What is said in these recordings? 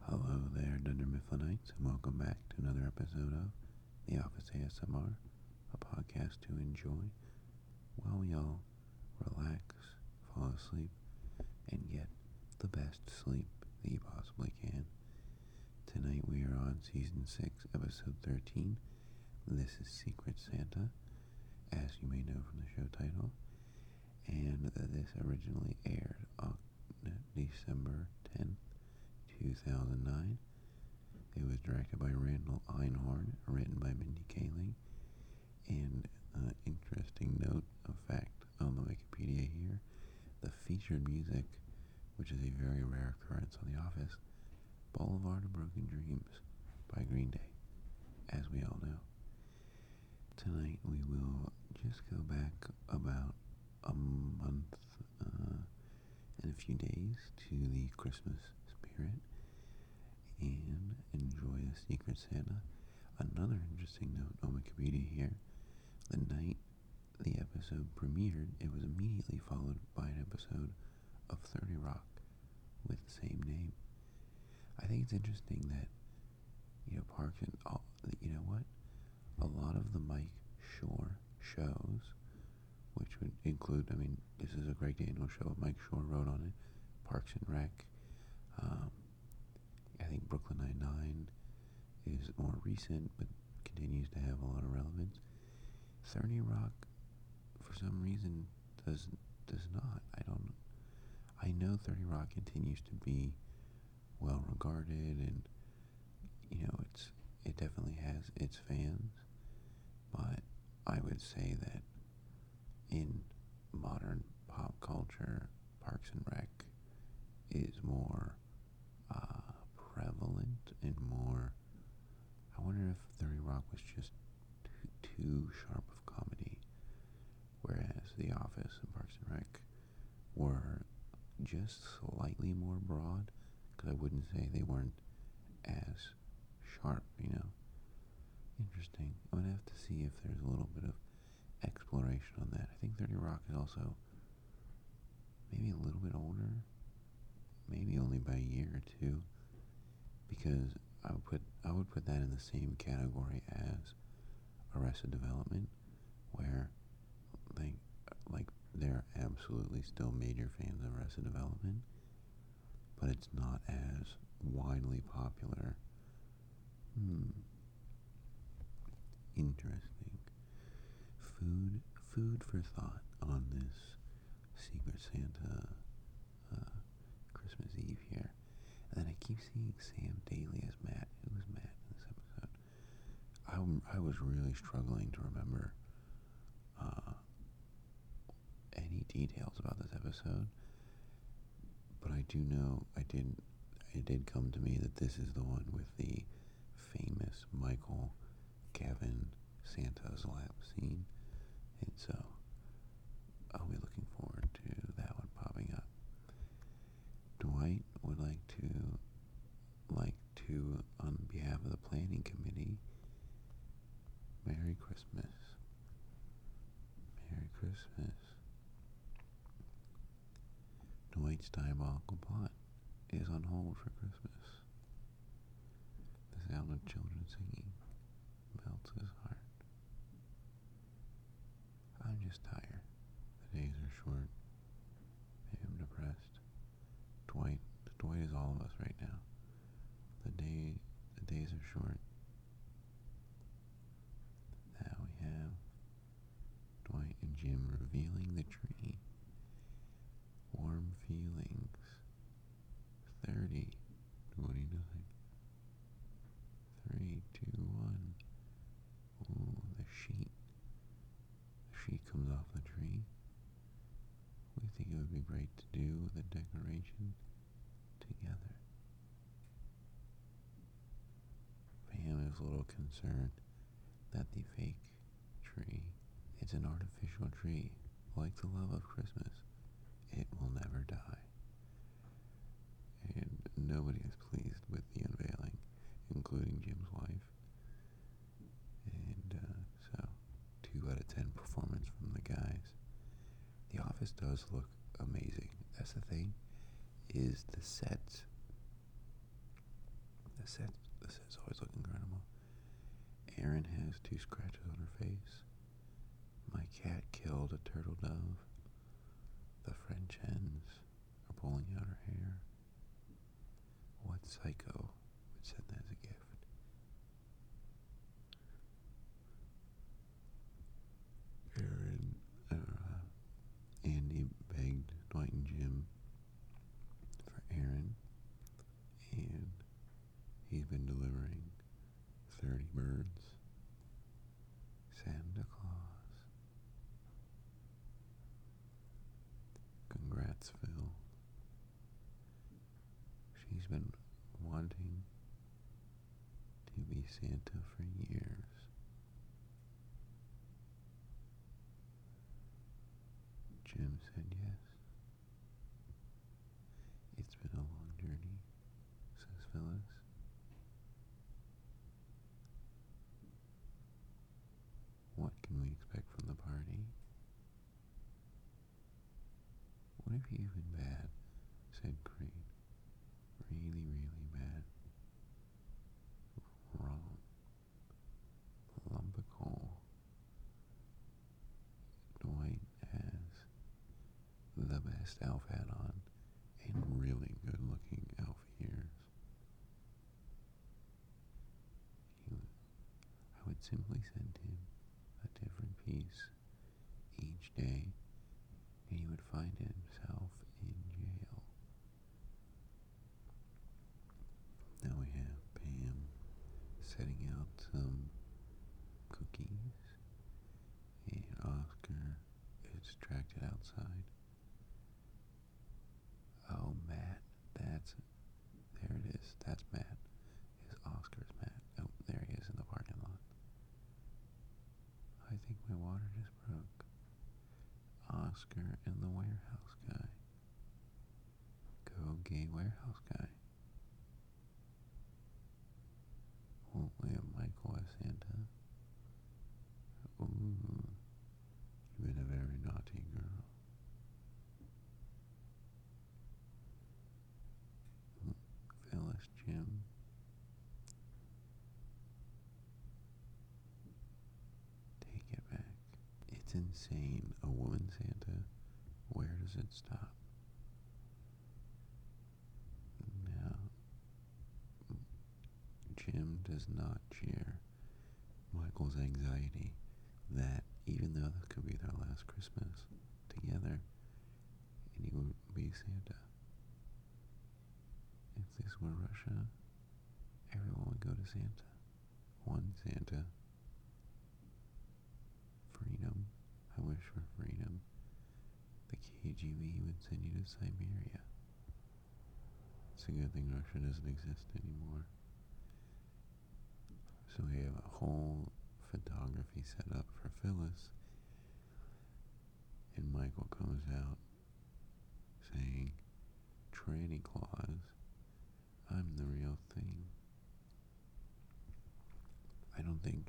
Hello there, Dunder Mifflinites, and welcome back to another episode of The Office ASMR, a podcast to enjoy while we all relax, fall asleep, and get the best sleep that you possibly can. Tonight we are on Season 6, Episode 13. This is Secret Santa, as you may know from the show title, and this originally aired October. December 10, 2009. It was directed by Randall Einhorn, written by Mindy Kaling. And uh, interesting note of fact on the Wikipedia here, the featured music, which is a very rare occurrence on The Office, Boulevard of Broken Dreams by Green Day, as we all know. Tonight we will just go back about a month uh, and a few days to the Christmas spirit and enjoy a Secret Santa. Another interesting note on Wikipedia here the night the episode premiered, it was immediately followed by an episode of 30 Rock with the same name. I think it's interesting that you know, Parks and all, you know what? A lot of the Mike Shore shows, which would include, I mean, this is a Greg Daniel show. Mike Shore wrote on it. Parks and Rec. Um, I think Brooklyn Nine-Nine is more recent, but continues to have a lot of relevance. 30 Rock, for some reason, does does not. I don't. I know 30 Rock continues to be well regarded and you know it's it definitely has its fans but I would say that in modern pop culture Parks and Rec is more uh, prevalent and more I wonder if 30 Rock was just too, too sharp of comedy whereas The Office and Parks and Rec were just slightly more broad because I wouldn't say they weren't as sharp, you know. Interesting. I'm going to have to see if there's a little bit of exploration on that. I think 30 Rock is also maybe a little bit older, maybe only by a year or two, because I would put I would put that in the same category as Arrested Development, where they like they're absolutely still major fans of Arrested Development, but it's not as widely popular. Hmm. Interesting. Food, food for thought on this Secret Santa uh, Christmas Eve here. And I keep seeing Sam Daly as Matt. Who Matt in this episode? I, I was really struggling to remember uh, any details about this episode, but I do know I did. It did come to me that this is the one with the famous Michael Kevin Santos lap scene, and so I'll be looking forward to that one popping up. Dwight would like to like to, on behalf of the planning committee, Merry Christmas. Merry Christmas. Dwight's diabolical plot is on hold for Christmas. The sound of children singing melts his heart. I'm just tired. The days are short. I'm depressed. Dwight, Dwight is all of us right now. The day, the days are short. Now we have Dwight and Jim revealing the tree. Warm feelings. 30, 29, 3, 2, 1. the sheet she comes off the tree. We think it would be great to do the decoration together. Pam is a little concerned that the fake tree its an artificial tree. Like the love of Christmas, it will never die. And nobody is pleased with the unveiling, including Jim's wife and uh, so, 2 out of 10 performance from the guys. The office does look amazing. That's the thing, is the set. The sets, the sets always look incredible. Erin has two scratches on her face. My cat killed a turtle dove. The French hens are pulling out her hair. What psycho would send that as a gift? Aaron, uh, Andy begged Dwight and Jim for Aaron, and he's been delivering 30 birds. Santa Claus Congrats, Phil. She's been wanting to be Santa for years. Jim said yes. It's been a long journey, says Phyllis. What can we expect from the party? What have you been bad? said Crane. Really, really bad. Wrong. Lump Dwight has the best elf hat on and really good looking elf ears. He was, I would simply send him a different piece each day, and he would find himself in jail. Now we have Pam setting out some cookies, and Oscar is distracted outside. Oh man, that's there it is. That's Matt. Is Oscar's Matt? Oh, there he is in the parking lot. I think my water just broke. Oscar and the warehouse guy. Go gay warehouse guy. Won't we have Michael as Santa? Ooh, you a very naughty girl. Phyllis Jim. Take it back. It's insane. A woman Santa. Where does it stop? Now, Jim does not cheer. Michael's anxiety that even though this could be their last Christmas together, and be Santa. If this were Russia, everyone would go to Santa. One Santa. Freedom. I wish for freedom. The KGB would send you to Siberia. It's a good thing Russia doesn't exist anymore. So we have a whole photography set up for Phyllis. And Michael comes out saying, Tranny Claus, I'm the real thing. I don't think,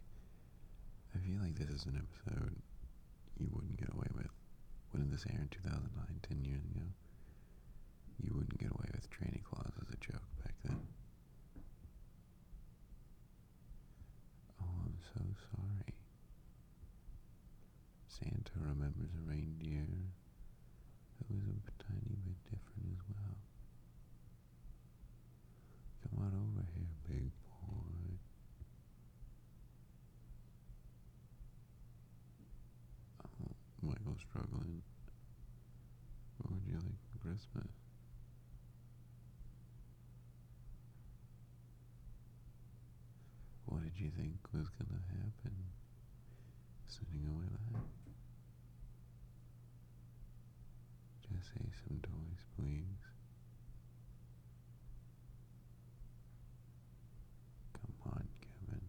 I feel like this is an episode you wouldn't get away with. When this aired in 2009, 10 years ago? You wouldn't get away with training claws as a joke back then. Oh, I'm so sorry. Santa remembers a reindeer that a tiny bit different as well. Come on over here, big boy. Oh, Michael's struggling. What would you like for Christmas? What did you think was gonna happen? Sending away Just say some toys, please. Come on, Kevin.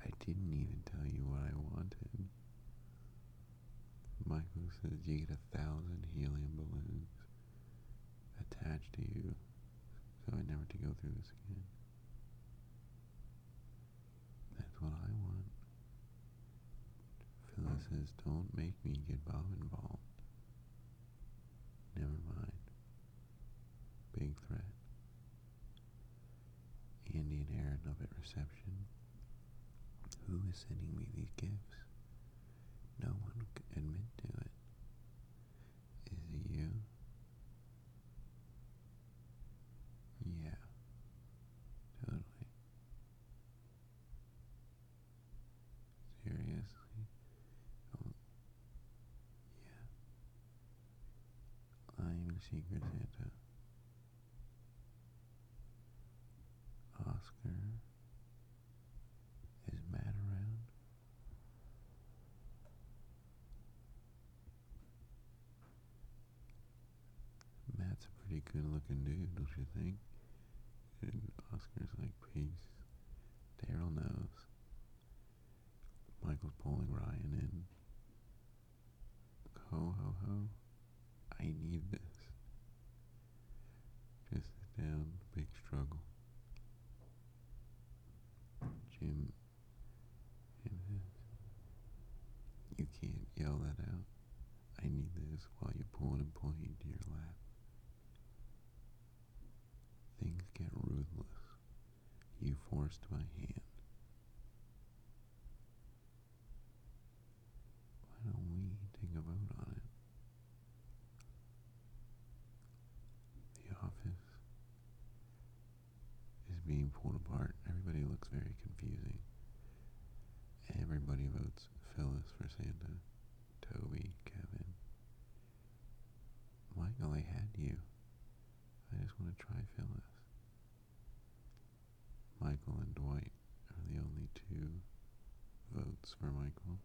I didn't even tell you what I wanted. Michael says you get a thousand helium balloons attached to you so I never to go through this again. That's what I want. Phyllis says, don't make me get Bob involved. Never mind. Big threat. Andy and Aaron up at reception. Who is sending me these gifts? No one can admit to it. Is it you? Yeah. Totally. Seriously? Oh, yeah. I'm Secret Santa. Oscar is mad around. Matt's a pretty good looking dude, don't you think? And Oscar's like, peace. Daryl knows. Michael's pulling Ryan in. Ho, ho, ho. I need this. Just sit down, big struggle. Jim You can't yell that out. I need this while you pull an employee into your lap. Things get ruthless. You forced my hand. Why don't we take a vote on it? The office is being pulled apart. Everybody looks very confusing. Everybody votes Phyllis for Santa, Toby, Kevin. Michael, I had you. I just want to try Phyllis. Michael and Dwight are the only two votes for Michael.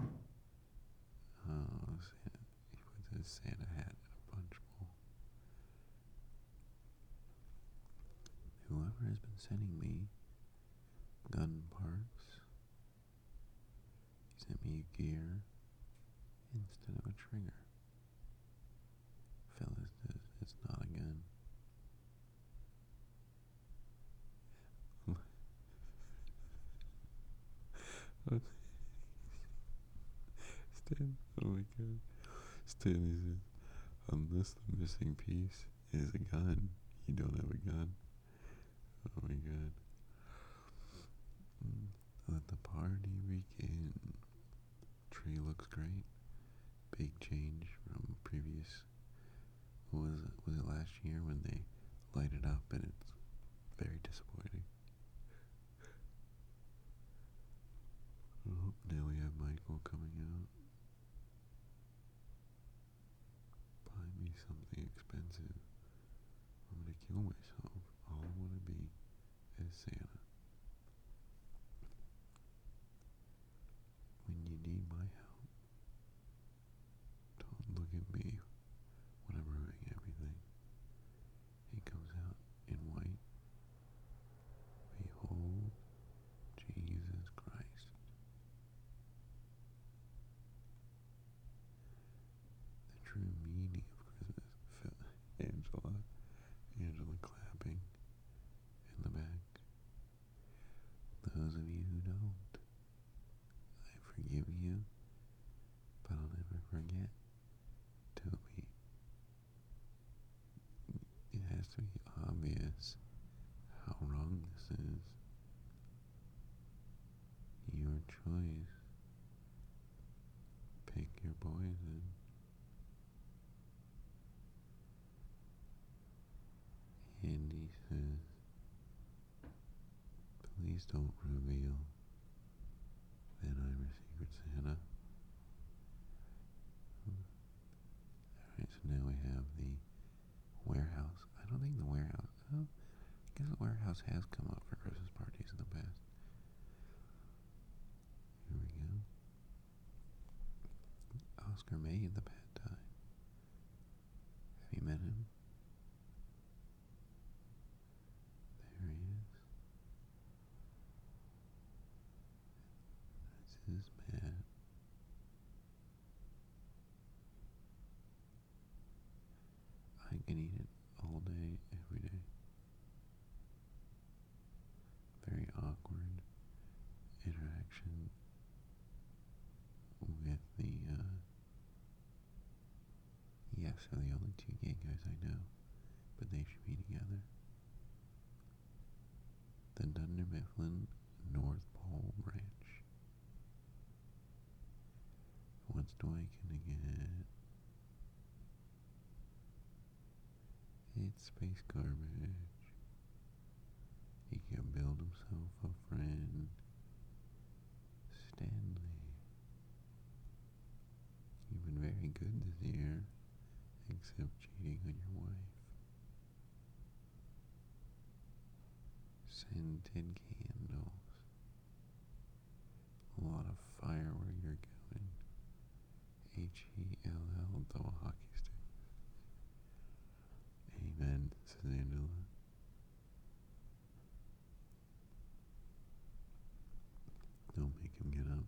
Oh, Santa. he puts his Santa hat in a punch bowl. Whoever has been sending me gun parts, he sent me a gear instead of a trigger. Fellas, it's not a gun. Stan, oh my god. Stan is Unless the missing piece is a gun. You don't have a gun. Oh my god. Mm. Let the party begin. Tree looks great. Big change from previous. Was it, was it last year when they light it up and it's very disappointing. Oh, now we have Michael coming out. Buy me something expensive. I'm gonna kill myself. All I wanna be is Santa. When you need my help, don't look at me when I'm ruining everything. He comes out in white Behold Jesus Christ. The true meaning of Christmas. Angela, Angela clapping in the back. Those of you who don't, I forgive you, but I'll never forget. Toby it has to be obvious how wrong this is. Your choice. Pick your poison. And he says, please don't reveal that I'm a secret Santa. Alright, so now we have the warehouse. I don't think the warehouse, I guess the warehouse has come up for Christmas parties in the past. Here we go. Oscar made the pad thai. Have you met him? There he is. That's his pad I can eat it all day, every day. Very awkward interaction with the, uh, yes, are the only two gay guys I know, but they should be together the Dunder Mifflin North Pole Branch. Once again. It's space garbage. He can build himself a friend. Stanley. You've been very good this year, except cheating on your wife scented candles, a lot of fire going. H E L L double hockey sticks. Amen, says Angela. Don't make him get up.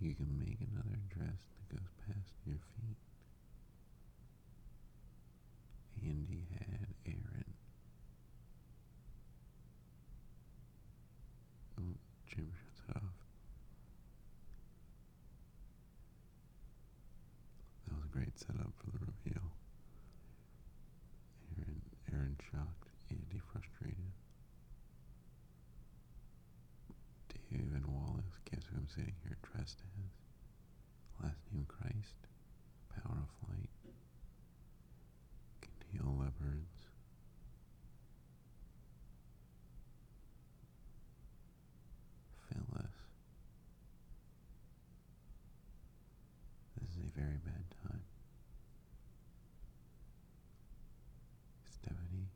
You can make another dress that goes past your feet. Andy had Aaron. Oh, Jim shuts it off. That was a great setup for the reveal. Aaron, Aaron shocked, Andy frustrated. Dave and Wallace, guess who I'm sitting here dressed as? Last name Christ, power light, can heal leopards. Phyllis. This is a very bad time. Stephanie.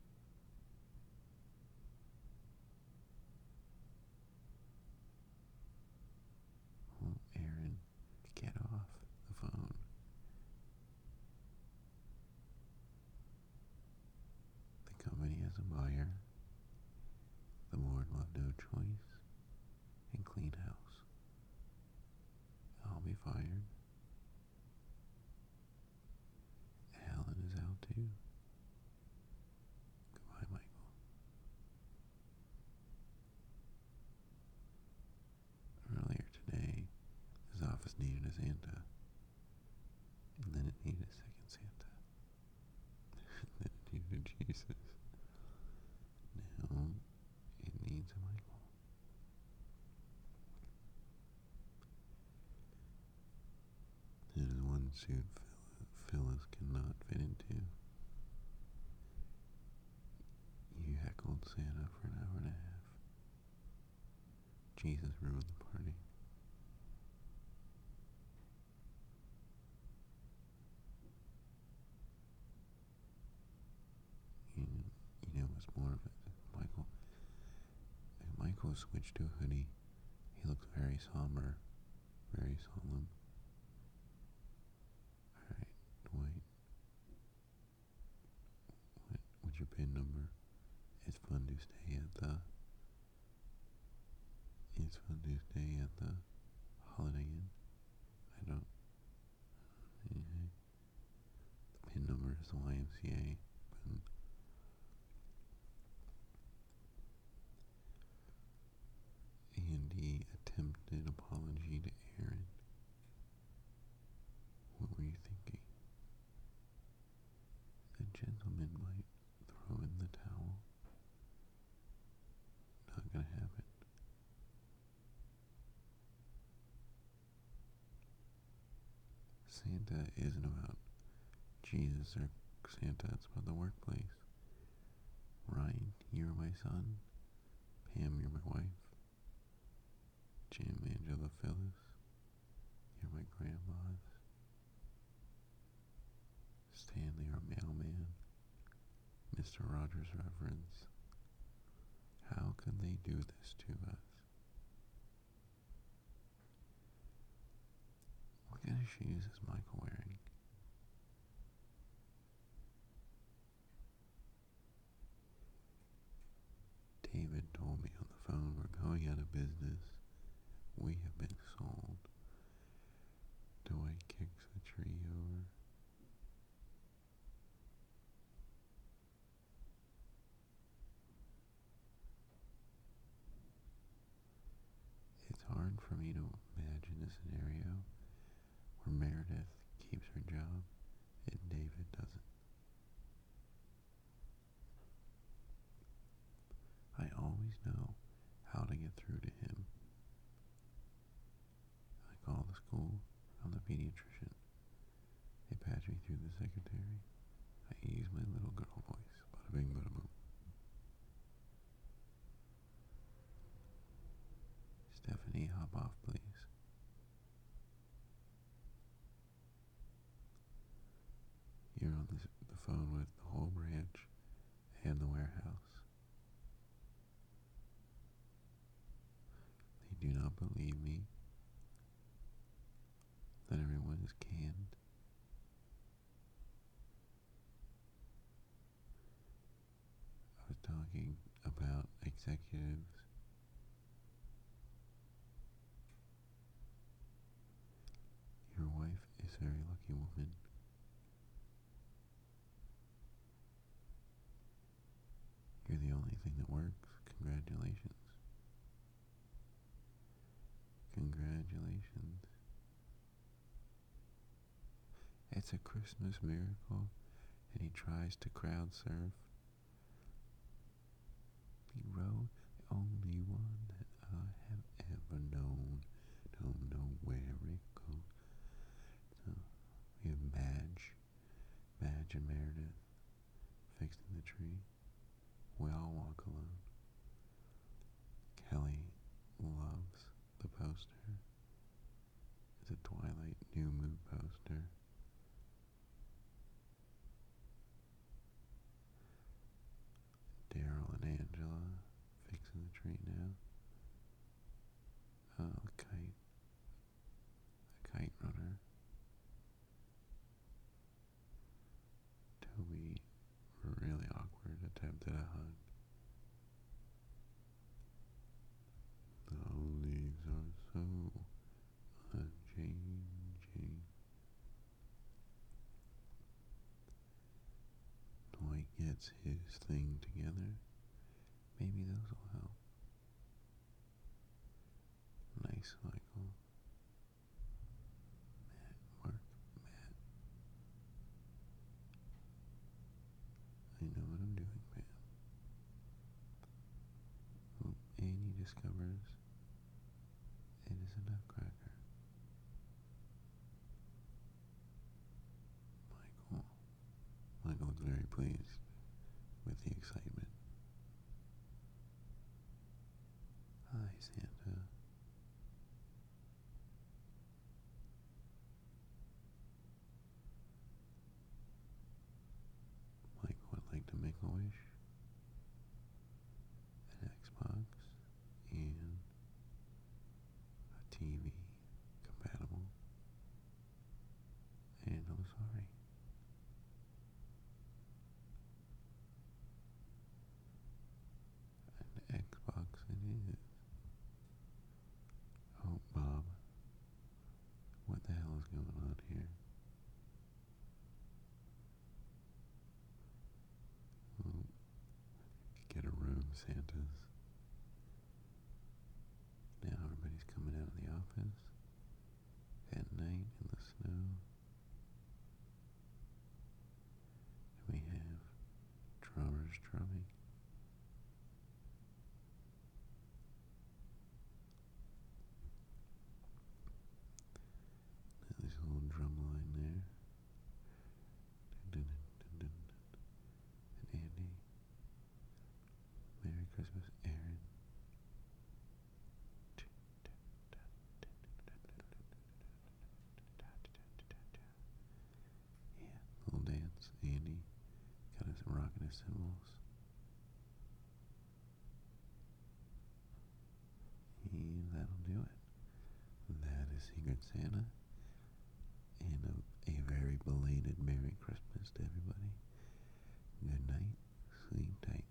Oh, Aaron, get off the phone. The company has a buyer. The board left no choice and clean house. I'll be fired Alan is out too. Goodbye, Michael. Earlier today, his office needed a Santa, then it needed a second Santa, then it needed Jesus. Now it needs a Michael. It is one suit Phyllis cannot fit into. You heckled Santa for an hour and a half. Jesus ruined the party. He, you know, was more of a Michael. And Michael switched to a hoodie. He looked very somber, very solemn. Alright, Dwight. What, what's your pin number? It's fun to stay at the... It's fun to stay at the Holiday Inn. I don't... Mm -hmm. The pin number is the YMCA pin. Andy attempted apology to Aaron. What were you thinking? The gentleman might throw in the towel. Not gonna happen. Santa isn't about Jesus or Santa, it's about the workplace. Ryan, you're my son. Pam, you're my wife. Jim, Angela, Phyllis, you're my grandma's. Stanley, our mailman. Mr. Rogers' reverence. How can they do this to us? What kind of shoes is Michael wearing? David told me on the phone we're going out of business. We have been sold. Dwight kicks a tree over. It's hard for me to imagine a scenario where Meredith keeps her job and David doesn't. I always know how to get through to him. I call the school. I'm the pediatrician. They patched me through the secretary. I used my little girl voice. Bada bing, bada boom. Stephanie, hop off, please. You're on the phone with the whole branch and the warehouse. They do not believe me that everyone is canned. I was talking about executives your wife is a very lucky woman. You're the only thing that works. Congratulations. Congratulations. It's a Christmas miracle, and he tries to crowd surf. He wrote the only one I have ever known. Don't know where it goes. No. We have Meredith fixing the tree. We all walk alone. Kelly loves the poster. It's a Twilight New Moon poster. Daryl and Angela fixing the tree now. Oh, kite. A kite runner till we really awkward attempted a hug. The leaves are so unchanging. Dwight gets his thing together. Maybe those will help. Nice, Michael. Matt, Mark, Matt. I know what I'm doing, man. Well, Annie discovers it is a nutcracker. Michael. Michael was very pleased with the excitement. Hi, ah, Santa. Mike would like to make a wish, an Xbox, and a TV compatible. And I'm sorry. An Xbox it is. Oh, Bob. What the hell is going on here? Well, oh, get a room, Santa's. Now everybody's coming out of the office at night in the snow. We have drummers drumming. Now little drum there. dun, dun, dun, dun. And Andy. Merry Christmas, Aaron. Yeah, little dance. Andy got his rocking his cymbals. And that'll do it. That is Secret Santa. And a very belated Merry Christmas to everybody. Good night. Sleep tight.